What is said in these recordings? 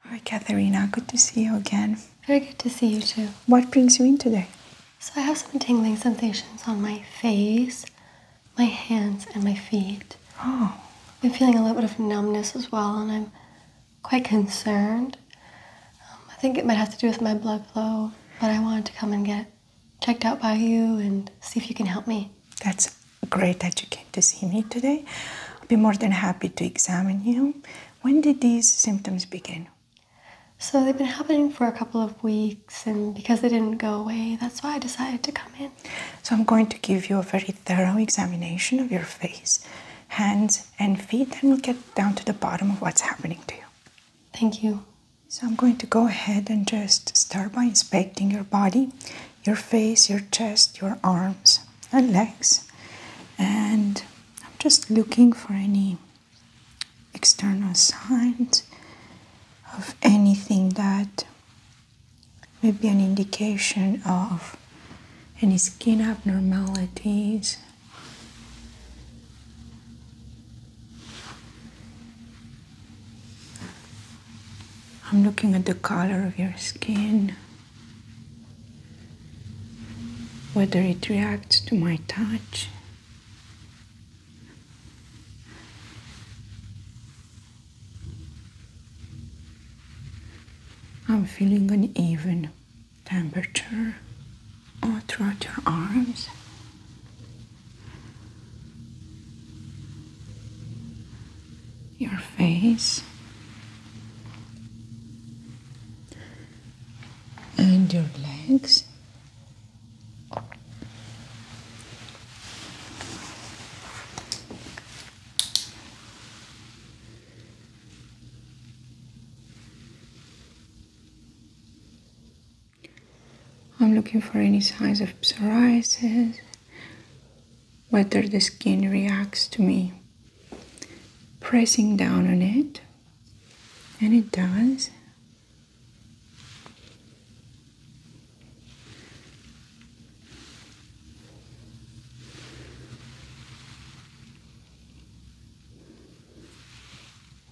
Hi, Katharina. Good to see you again. Very good to see you too. What brings you in today? So, I have some tingling sensations on my face, my hands, and my feet. Oh. I'm feeling a little bit of numbness as well, and I'm quite concerned. Um, I think it might have to do with my blood flow, but I wanted to come and get checked out by you and see if you can help me. That's great that you came to see me today be more than happy to examine you. When did these symptoms begin? So they've been happening for a couple of weeks, and because they didn't go away, that's why I decided to come in. So I'm going to give you a very thorough examination of your face, hands, and feet, and we'll get down to the bottom of what's happening to you. Thank you. So I'm going to go ahead and just start by inspecting your body, your face, your chest, your arms and legs and I'm just looking for any external signs of anything that may be an indication of any skin abnormalities. I'm looking at the color of your skin whether it reacts to my touch. I'm feeling an even temperature throughout your arms your face and your legs. I'm looking for any signs of psoriasis whether the skin reacts to me pressing down on it, and it does.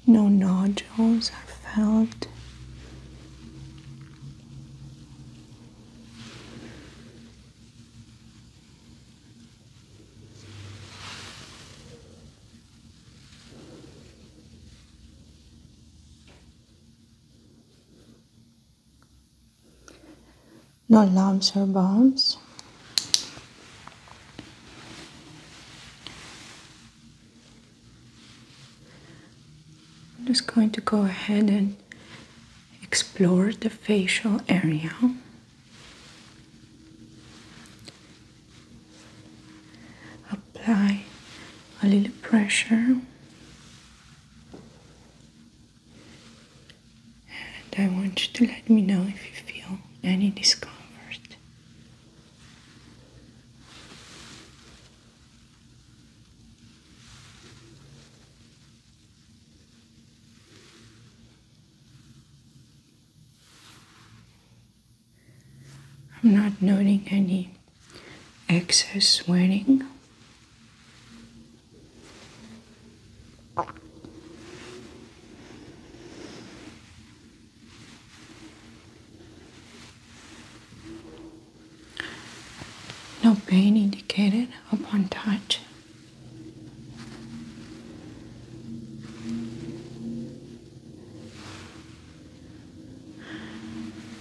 No nodules are felt no lumps or bumps. I'm just going to go ahead and explore the facial area. Apply a little pressure, and I want you to let me know if you feel any discomfort. I'm not noting any excess sweating. No pain indicated upon touch.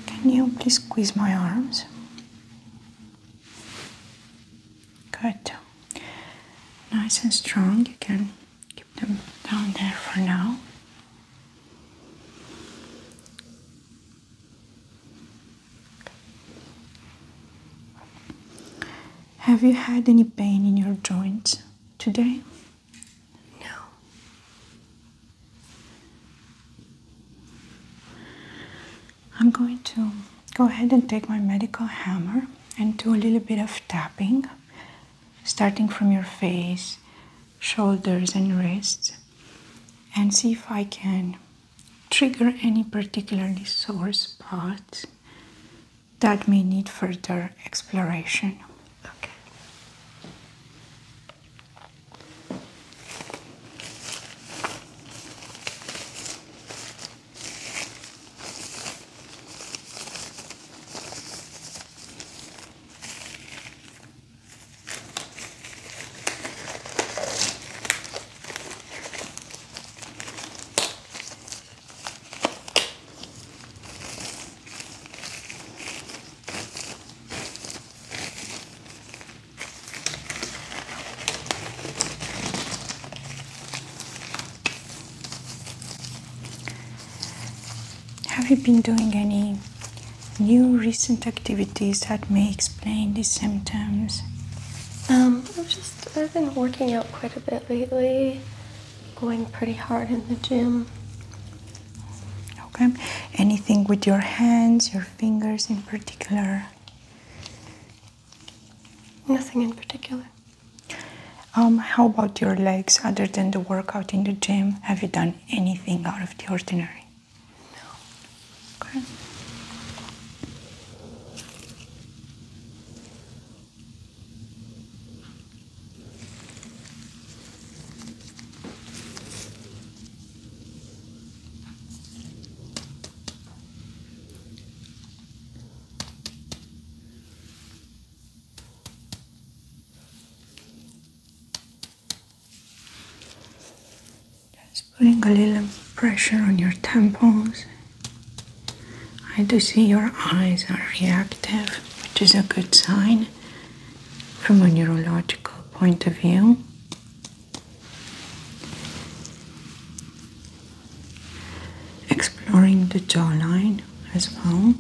Can you please squeeze my arms? Good. Nice and strong. You can keep them down there for now. Have you had any pain in your joints today? No. I'm going to go ahead and take my medical hammer and do a little bit of tapping, starting from your face, shoulders, and wrists, and see if I can trigger any particularly sore spots that may need further exploration. Okay. Have you been doing any new recent activities that may explain these symptoms? Um, I've been working out quite a bit lately, going pretty hard in the gym. Okay. Anything with your hands, your fingers in particular? Nothing in particular. Um, how about your legs? Other than the workout in the gym, have you done anything out of the ordinary? No. Okay. Just putting a little pressure on your temples I do see your eyes are reactive, which is a good sign from a neurological point of view. Exploring the jawline as well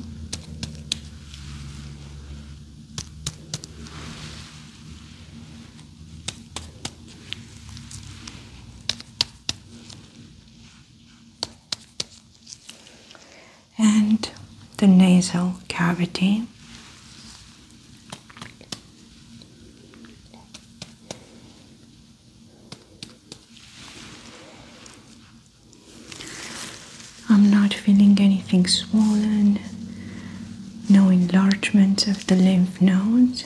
and the nasal cavity. I'm not feeling anything swollen, no enlargement of the lymph nodes.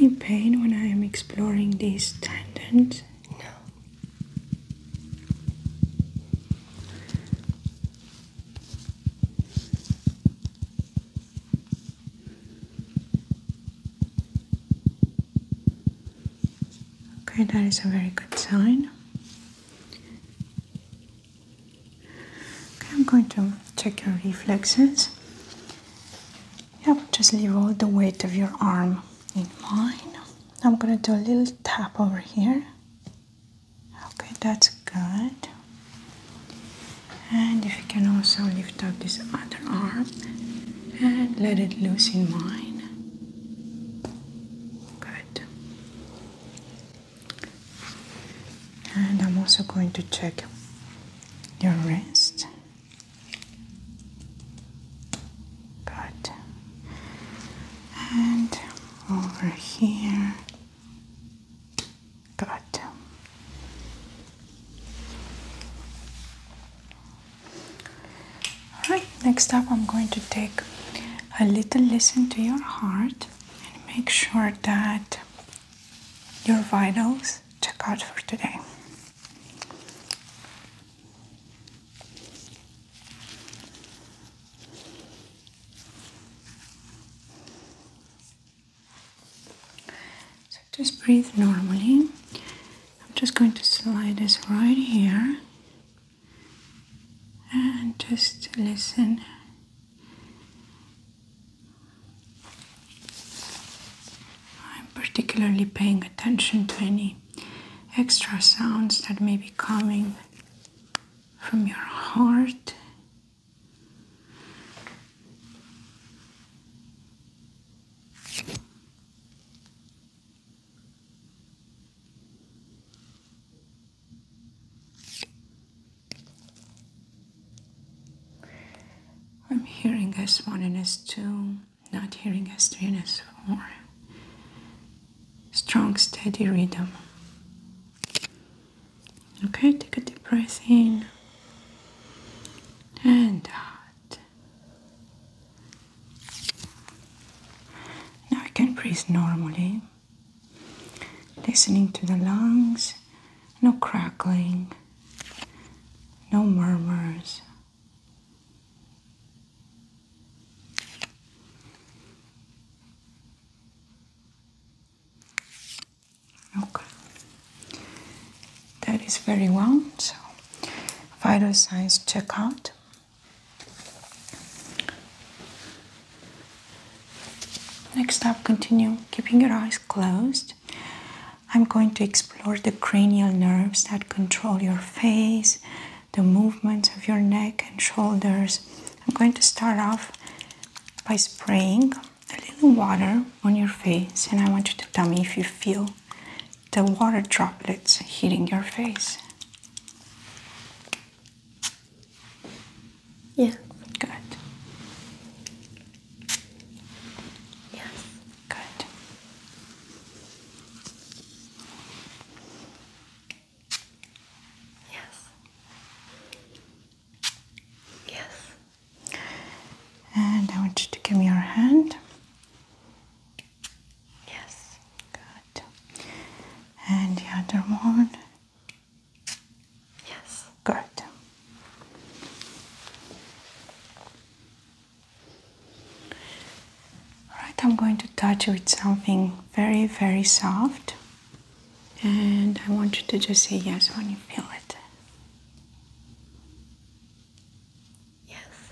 Any pain when I am exploring these tendons? No. Okay, that is a very good sign. Okay, I'm going to check your reflexes. Yep, just leave all the weight of your arm in mine. I'm gonna do a little tap over here. Okay, that's good. And if you can also lift up this other arm and let it loose in mine. Good and I'm also going to check your wrist. Good. And over here. Good. All right next up I'm going to take a little listen to your heart and make sure that your vitals check out for today. So just breathe normally. I'm just going to slide this right here and just listen. I'm particularly paying attention to any extra sounds that may be coming from your heart. I'm hearing S1 and S2, not hearing S3 and S4. Strong, steady rhythm. Okay, take a deep breath in and out. Now I can breathe normally. Listening to the lungs, no crackling, no murmurs. Okay, that is very well. So, vital signs check out. Next up, continue keeping your eyes closed. I'm going to explore the cranial nerves that control your face, the movements of your neck and shoulders. I'm going to start off by spraying a little water on your face, and I want you to tell me if you feel the water droplets hitting your face. Yeah, good. Yes, good. Yes. Yes. And I want you to give me your hand. Yes. Good. And the other one. Yes, good. Alright, I'm going to touch with something very, very soft, and I want you to just say yes when you feel it. Yes.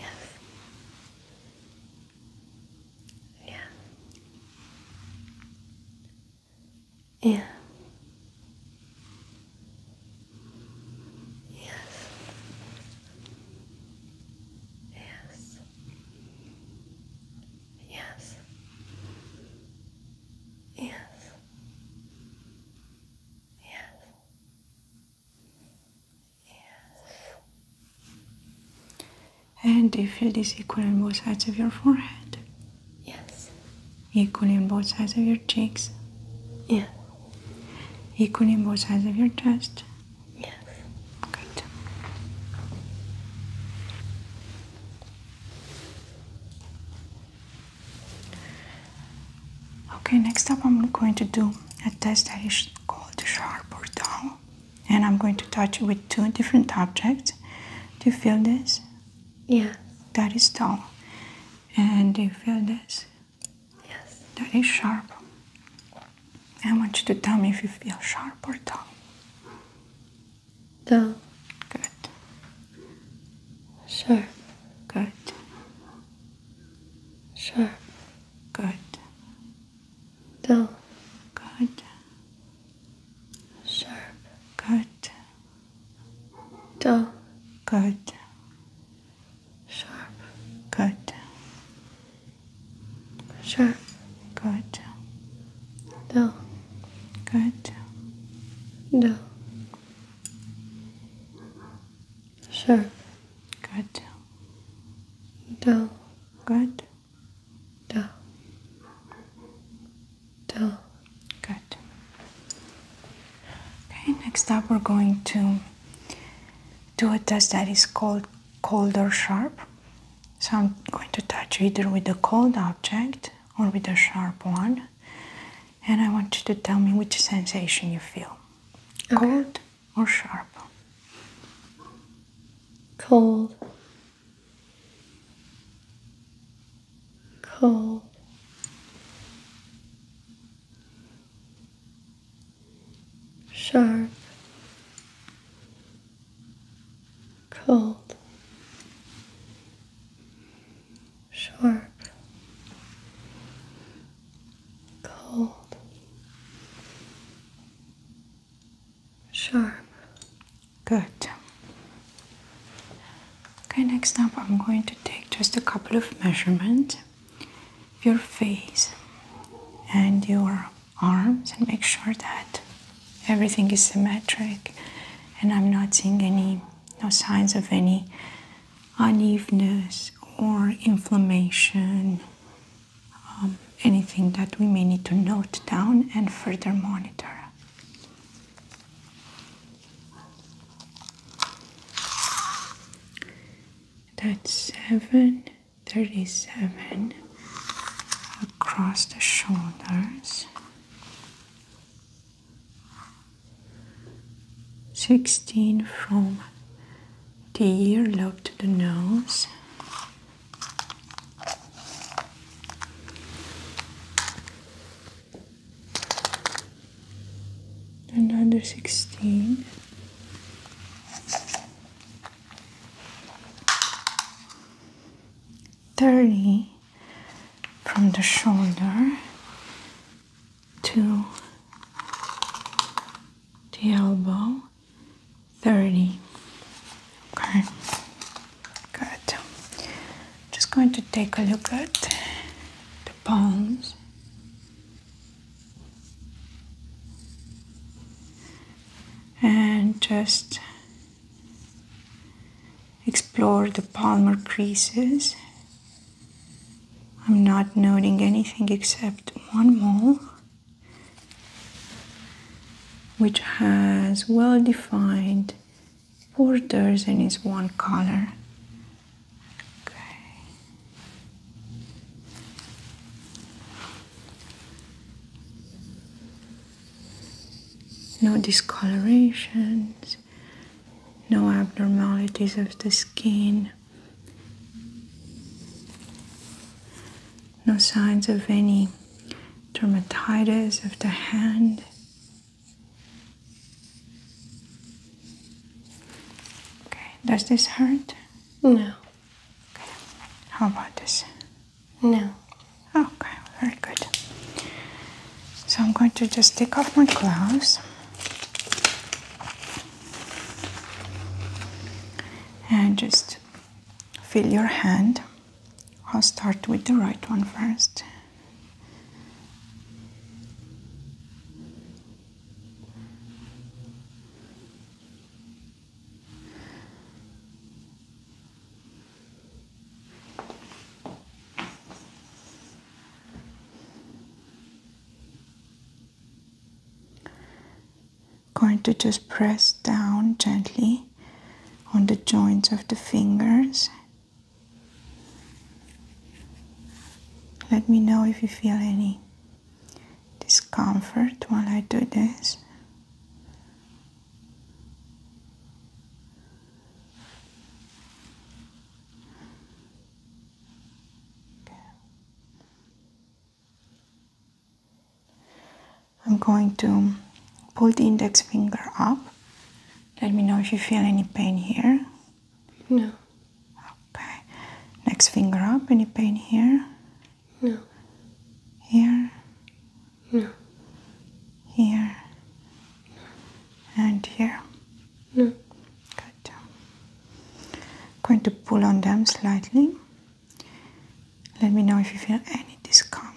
Yes. Yeah. Yeah. Yes. Yes. Yes. Yes. Yes. And you feel this equal on both sides of your forehead. Yes. Equal on both sides of your cheeks. Yes. Equal on both sides of your chest. Yes. Good. Okay, next up I'm going to do a test that is called sharp or dull and I'm going to touch it with two different objects. Do you feel this? Yeah. That is dull. And do you feel this? Yes. That is sharp. I want you to tell me if you feel sharp or dull. Dull. Good. Sure. Good. Sure. Good dull, good, sharp, good, sharp, good, sharp, good, dull, good, dull. Sure. Good. Do. Good. Do. Do. Good. Okay, next up we're going to do a test that is called cold or sharp. So I'm going to touch either with a cold object or with a sharp one. And I want you to tell me which sensation you feel. Cold or sharp. Cold, cold, sharp, cold, sharp. cold Sure. Good. Okay, next up I'm going to take just a couple of measurements of your face and your arms and make sure that everything is symmetric and I'm not seeing any no signs of any unevenness or inflammation um, anything that we may need to note down and further monitor. That's seven thirty seven across the shoulders. 16 from the earlobe to the nose. Another sixteen. Thirty from the shoulder to the elbow. 30. Okay, good. Just going to take a look at the palms. And just explore the palmar creases. I'm not noting anything except one mole which has well defined borders and is one color. Okay. No discolorations, no abnormalities of the skin. No signs of any dermatitis of the hand. Okay, does this hurt? No. Okay. How about this? No. Okay, very good. So I'm going to just take off my gloves. And just feel your hand. I'll start with the right one first. I'm Going to just press down gently on the joints of the fingers. Let me know if you feel any discomfort while I do this. I'm going to pull the index finger up. Let me know if you feel any pain here. No. Okay. Next finger up. Any pain here? No. Here? No. Here? No. And here? No. Good. going to pull on them slightly. Let me know if you feel any discomfort.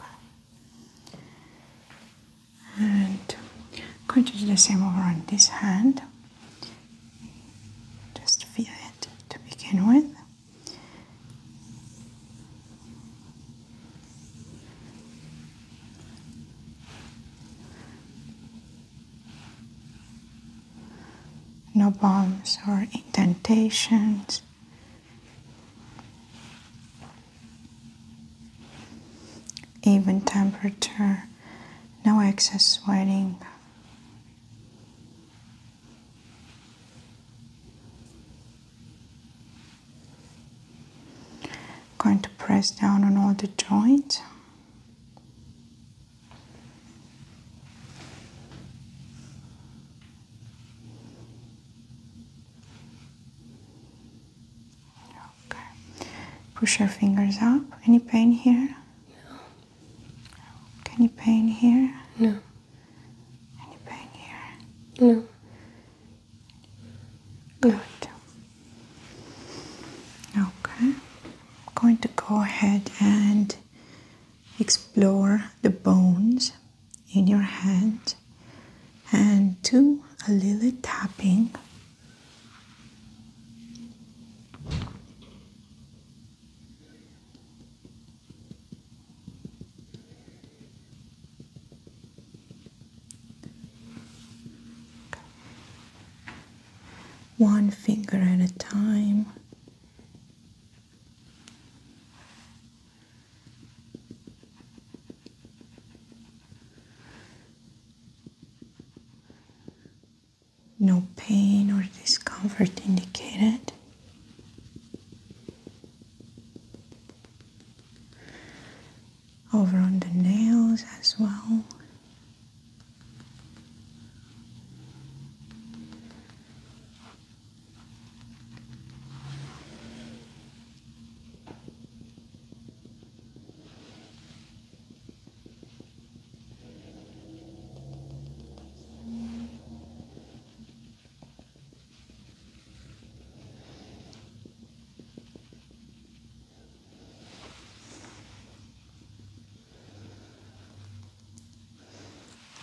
Okay. And I'm going to do the same over on this hand. Just feel it to begin with. No bumps or indentations. Even temperature, no excess sweating. Going to press down on all the joints. Okay. Push your fingers up. Any pain here? Any pain here? No. Any pain here? No. Good. Okay. I'm going to go ahead and explore the bones in your hand and do a little tapping. One finger at a time. No pain or discomfort indicated. Over on the nails as well.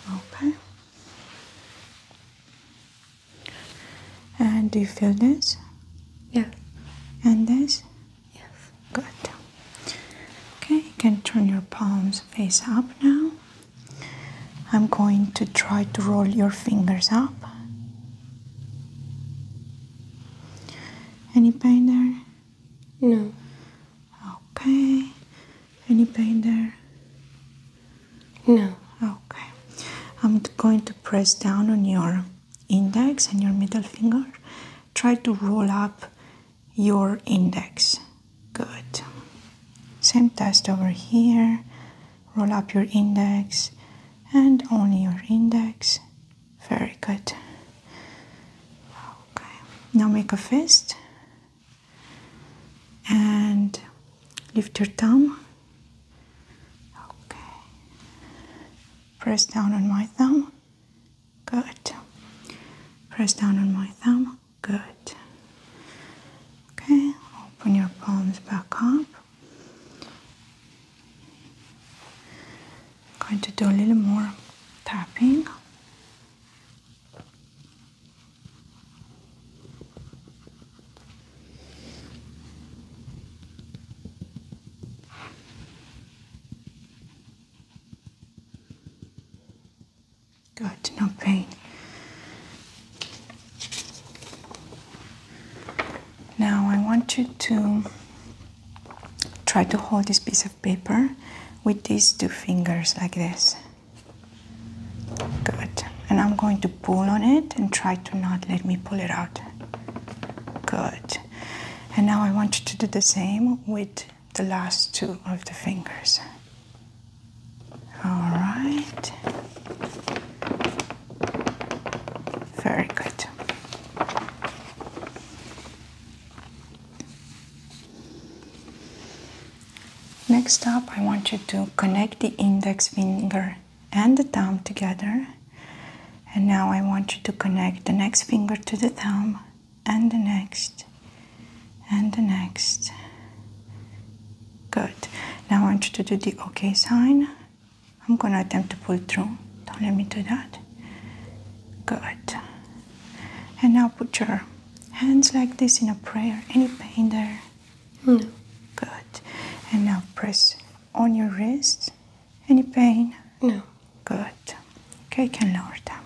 Okay. And do you feel this? Yeah. And this? Yes. Good. Okay, you can turn your palms face up now. I'm going to try to roll your fingers up. Any pain there? No. Okay. Any pain there? No. Okay. I'm going to press down on your index and your middle finger. Try to roll up your index. Good. Same test over here. Roll up your index and only your index. Very good. Okay. Now make a fist and lift your thumb. Okay. Press down on my thumb. Good. Press down on my thumb. Good. Okay, open your palms back up. going to do a little more tapping. Good, no pain. Now I want you to try to hold this piece of paper with these two fingers like this. Good. And I'm going to pull on it and try to not let me pull it out. Good. And now I want you to do the same with the last two of the fingers. All right. Very good. Next up, I want you to connect the index finger and the thumb together. And now I want you to connect the next finger to the thumb and the next and the next. Good. Now I want you to do the OK sign. I'm gonna attempt to pull through. Don't let me do that. Good. And now put your hands like this in a prayer. Any pain there? No. Good. And now press on your wrist. Any pain? No. Good. Okay, you can lower them.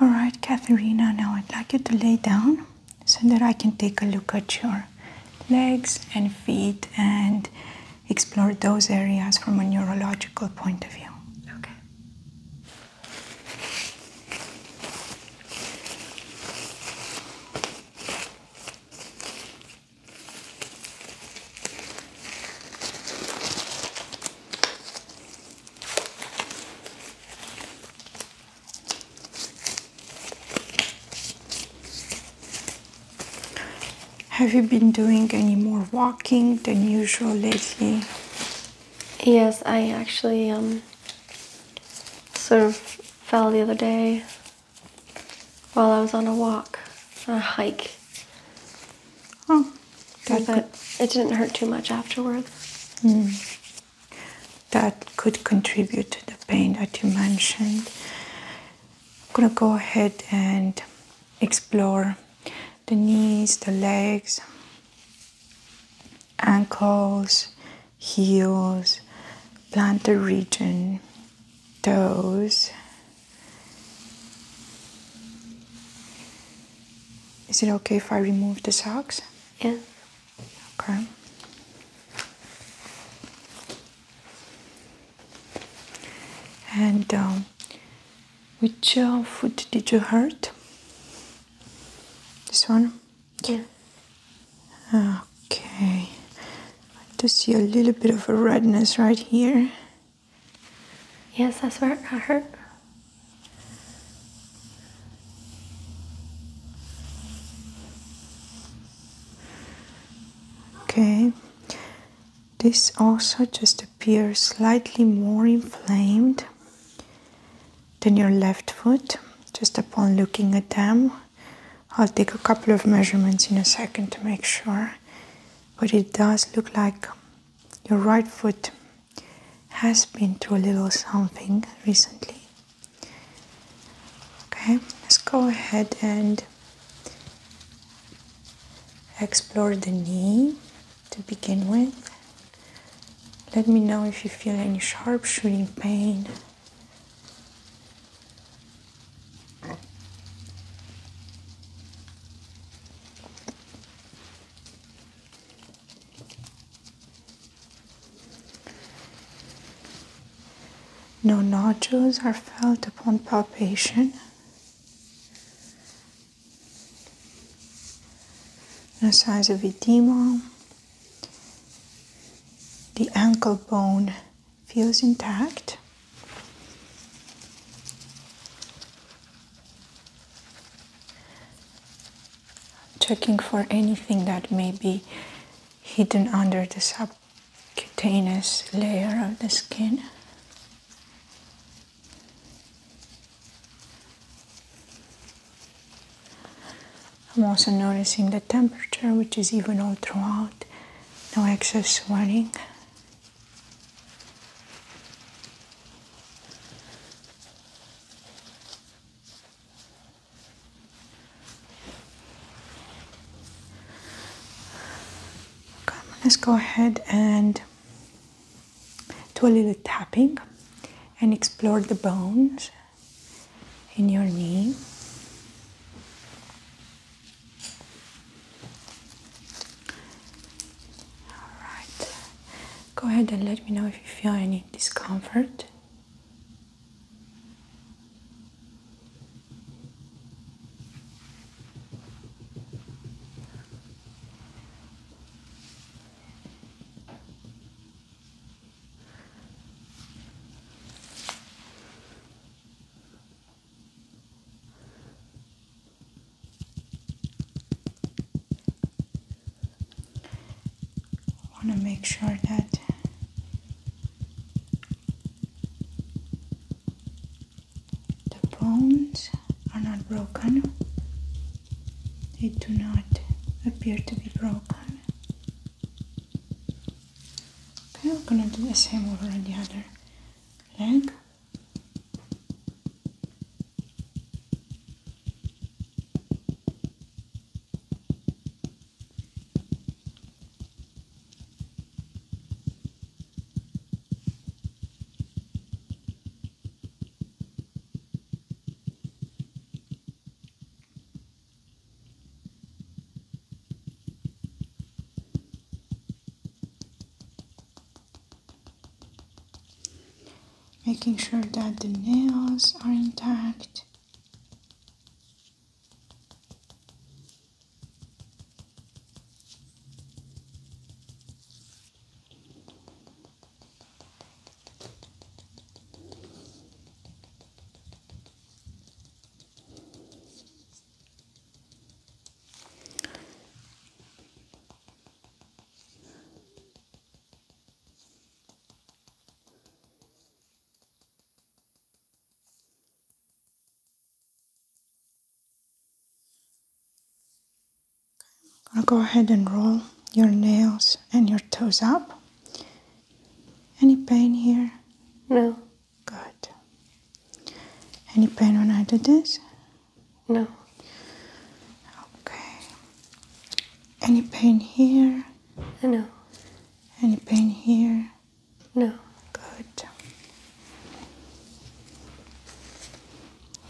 All right, Katharina, now I'd like you to lay down so that I can take a look at your legs and feet and explore those areas from a neurological point of view. Okay. Have you been doing any more walking than usual lately? Yes, I actually um, sort of fell the other day while I was on a walk, a hike. Oh, that it didn't hurt too much afterwards. Mm. That could contribute to the pain that you mentioned. I'm gonna go ahead and explore the knees, the legs ankles, heels, plantar region, toes. Is it okay if I remove the socks? Yeah. Okay. And um, which uh, foot did you hurt? This one? Yeah. Okay. I do see a little bit of a redness right here. Yes, that's where it hurt. Okay. This also just appears slightly more inflamed then your left foot just upon looking at them I'll take a couple of measurements in a second to make sure but it does look like your right foot has been through a little something recently okay let's go ahead and explore the knee to begin with let me know if you feel any sharp shooting pain. No nodules are felt upon palpation. No signs of edema. The ankle bone feels intact. Checking for anything that may be hidden under the subcutaneous layer of the skin. I'm also noticing the temperature, which is even all throughout, no excess sweating. let's go ahead and do a little tapping and explore the bones in your knee. Alright, go ahead and let me know if you feel any discomfort want to make sure that the bones are not broken they do not appear to be broken. Okay, I'm gonna do the same over on the other leg. Making sure that the nails are intact i am going to go ahead and roll your nails and your toes up. Any pain here? No. Good. Any pain when I do this? No. Okay. Any pain here? No. Any pain here? No. Good.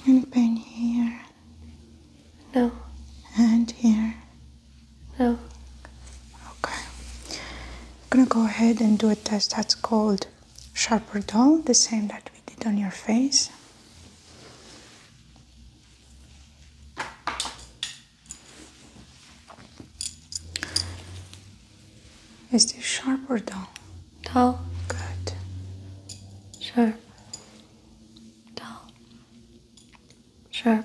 Any pain here? No. And here? No. Okay. I'm gonna go ahead and do a test that's called Sharper dull, the same that we did on your face. Is this sharper dull? Dull. Good. Sure. Dull. Sharp.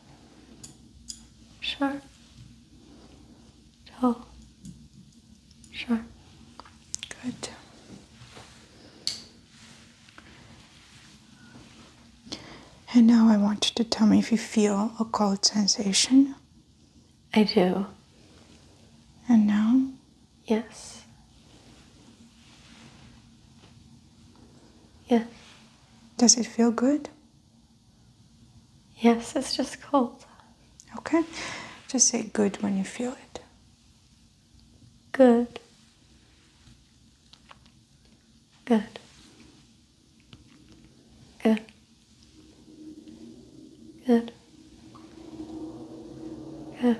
Sure. tall, Sure. Good. And now I want you to tell me if you feel a cold sensation. I do. And now? Yes. Yes. Does it feel good? Yes, it's just cold. Okay. Just say good when you feel it. Good. Good. Good. Good. Good.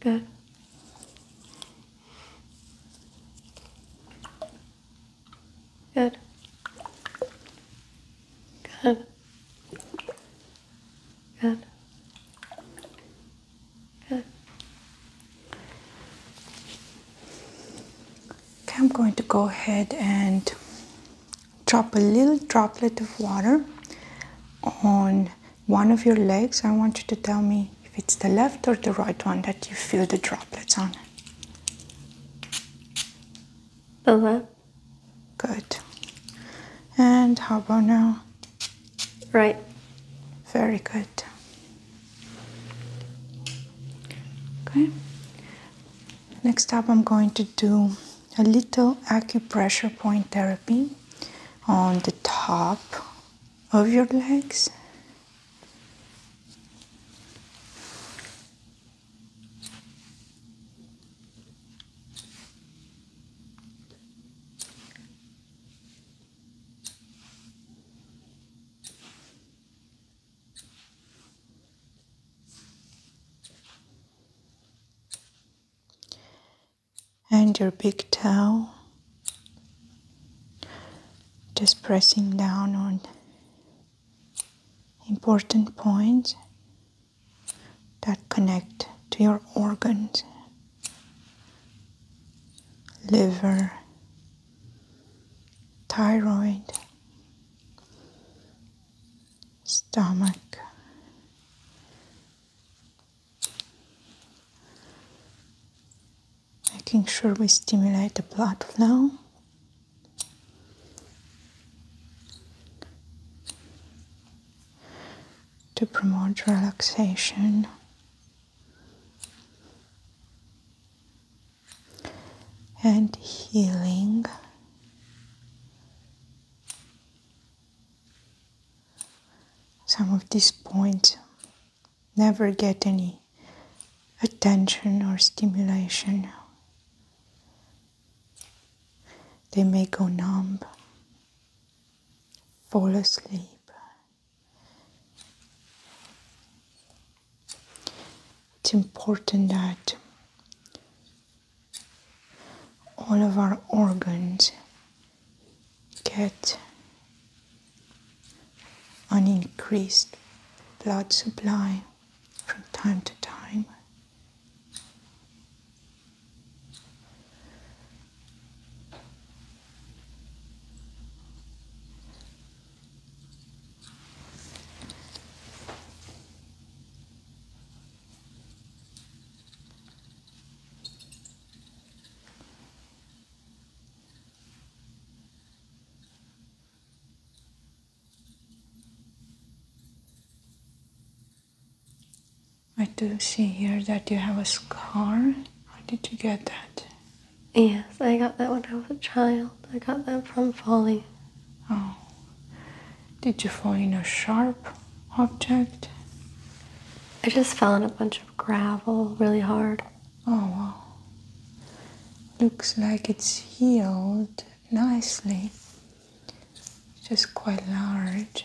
Good. Good. Good. Good. Good. Okay, I'm going to go ahead and drop a little droplet of water on one of your legs, I want you to tell me if it's the left or the right one that you feel the droplets on. left. Good. And how about now? Right. Very good. Okay. Next up, I'm going to do a little acupressure point therapy on the top of your legs and your big toe just pressing down on important points that connect to your organs liver thyroid stomach making sure we stimulate the blood flow. To promote relaxation and healing. Some of these points never get any attention or stimulation. They may go numb, fall asleep. It's important that all of our organs get an increased blood supply from time to time. I do see here that you have a scar. How did you get that? Yes, I got that when I was a child. I got that from falling. Oh. Did you fall in a sharp object? I just fell on a bunch of gravel really hard. Oh wow. Looks like it's healed nicely. just quite large.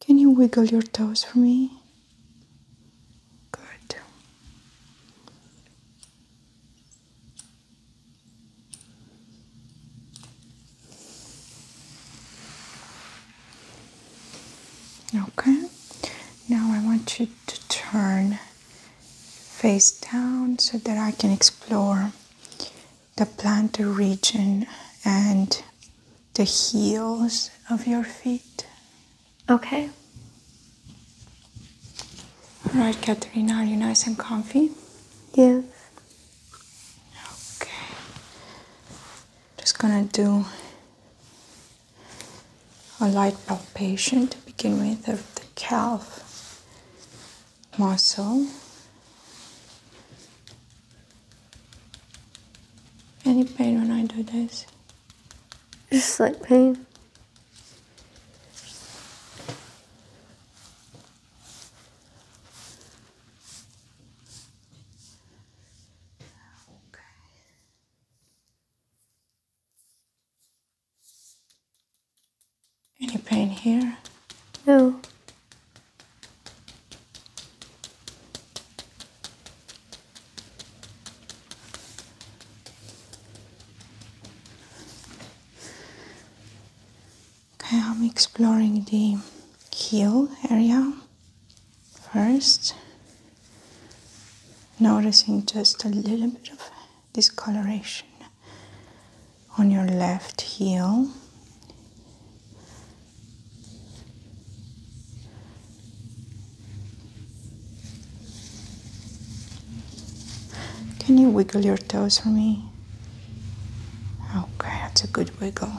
Can you wiggle your toes for me? Good. Okay, now I want you to turn face down so that I can explore the plantar region and the heels of your feet. Okay. All right, Katharina, are you nice and comfy? Yes. Okay just gonna do a light palpation to begin with of the calf muscle. Any pain when I do this? Just slight pain. Any pain here? No. Okay, I'm exploring the heel area. First, noticing just a little bit of discoloration on your left heel. Can you wiggle your toes for me? Okay, that's a good wiggle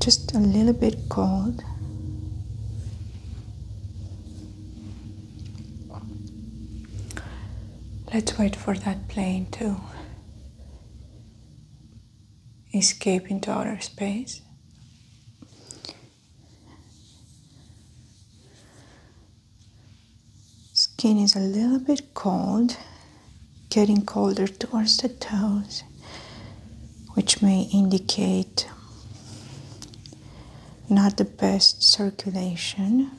just a little bit cold. Let's wait for that plane to escape into outer space. Skin is a little bit cold, getting colder towards the toes, which may indicate not the best circulation.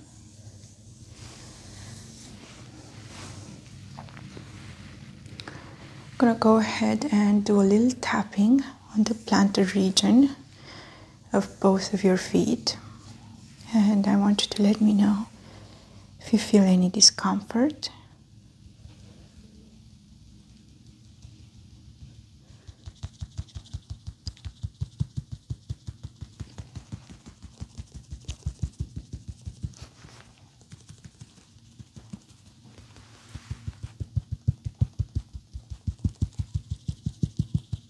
I'm gonna go ahead and do a little tapping on the plantar region of both of your feet. And I want you to let me know if you feel any discomfort.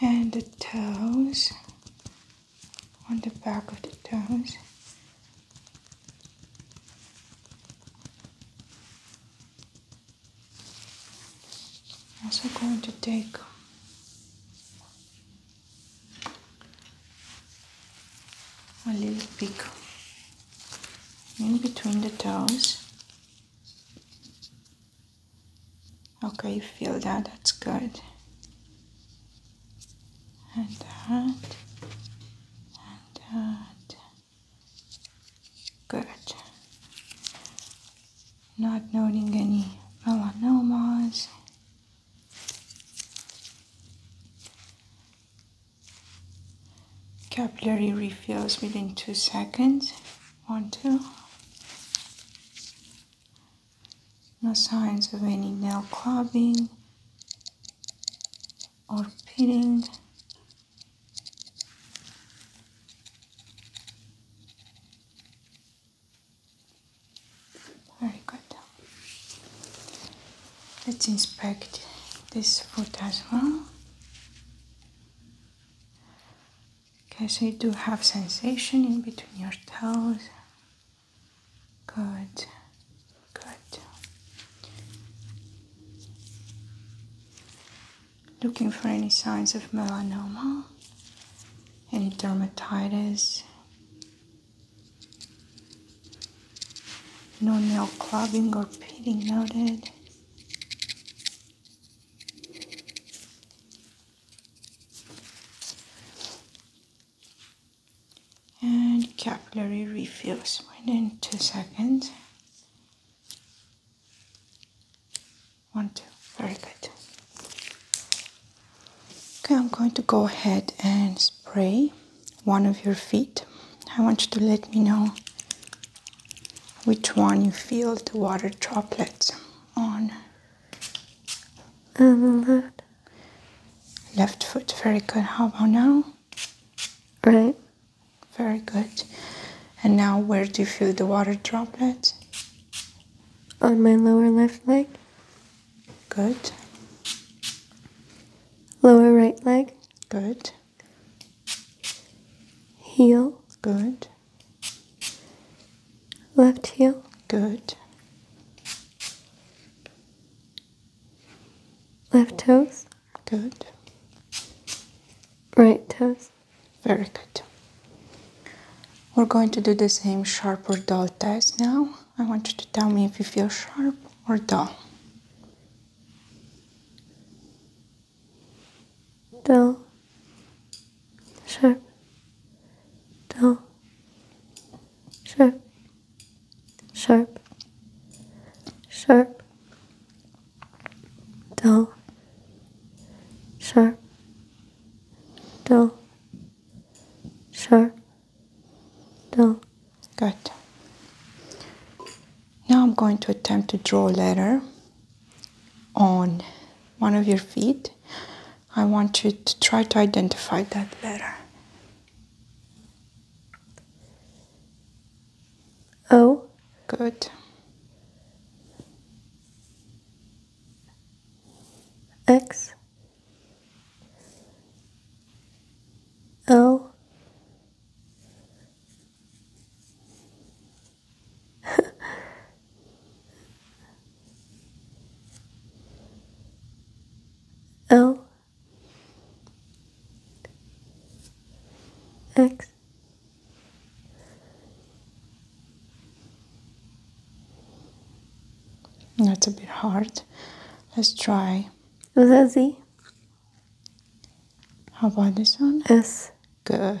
and the toes on the back of the toes also going to take a little pick in between the toes Okay, feel that, that's good. And that, and that. Good. Not noting any melanomas. Capillary refills within two seconds. One, two. No signs of any nail clubbing or pitting. Very good. Let's inspect this foot as well. Okay, so you do have sensation in between your toes. Good, good. Looking for any signs of melanoma, any dermatitis, no nail clubbing or peeling noted and capillary refills within two seconds. One, two, very good. Okay, I'm going to go ahead and spray one of your feet. I want you to let me know which one you feel the water droplets on. Um, left. Left foot, very good. How about now? Right. Very good. And now, where do you feel the water droplets? On my lower left leg. Good. Lower right leg. Good. Heel. Good. Left heel. Good. Left toes. Good. Right toes. Very good. We're going to do the same sharp or dull test now. I want you to tell me if you feel sharp or dull dull, sharp, dull, sharp, sharp, sharp, dull, sharp, dull, sharp, dull. Good. Now I'm going to attempt to draw a letter on one of your feet. I want you to try to identify that letter. O. Good. X. O. L X That's a bit hard. Let's try. Was Z? How about this one? S. Good.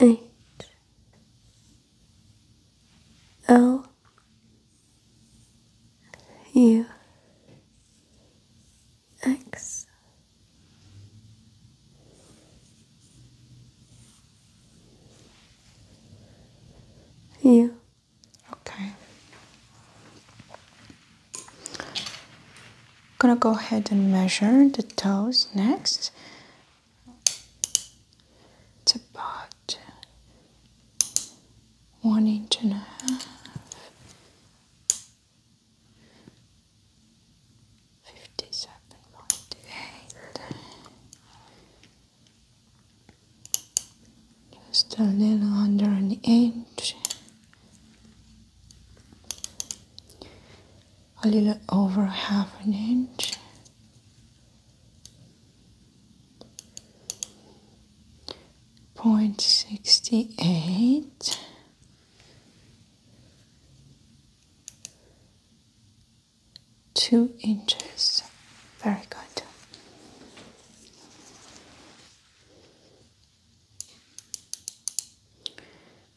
eight L U X U. Okay. I'm gonna go ahead and measure the toes next. It's about one inch and a half. 57.8 just a little under an inch a little over half an inch point sixty eight two inches very good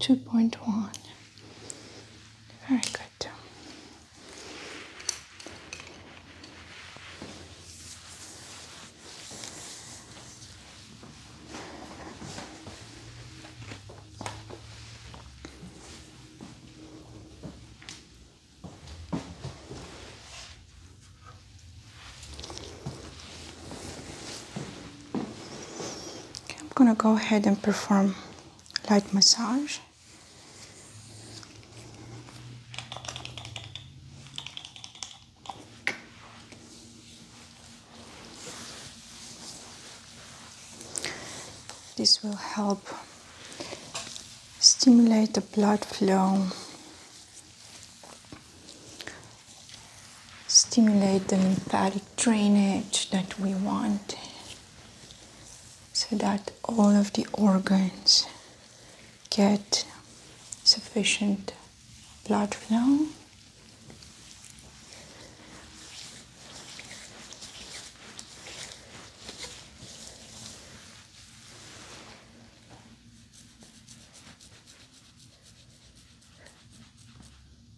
2.1. Very good. I'm gonna go ahead and perform light massage. This will help stimulate the blood flow stimulate the lymphatic drainage that we want so that all of the organs get sufficient blood flow.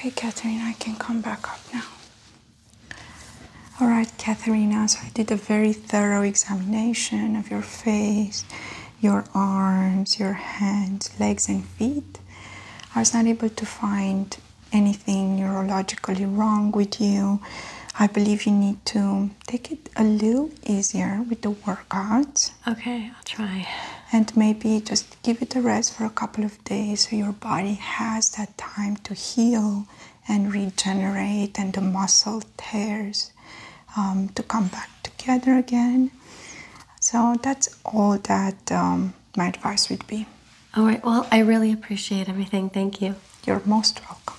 Okay, Catherine, I can come back up now. All right, Katharina, so I did a very thorough examination of your face, your arms, your hands, legs, and feet. I was not able to find anything neurologically wrong with you. I believe you need to take it a little easier with the workouts. Okay, I'll try. And maybe just give it a rest for a couple of days so your body has that time to heal and regenerate, and the muscle tears um, to come back together again. So that's all that um, my advice would be. All right, well, I really appreciate everything. Thank you. You're most welcome.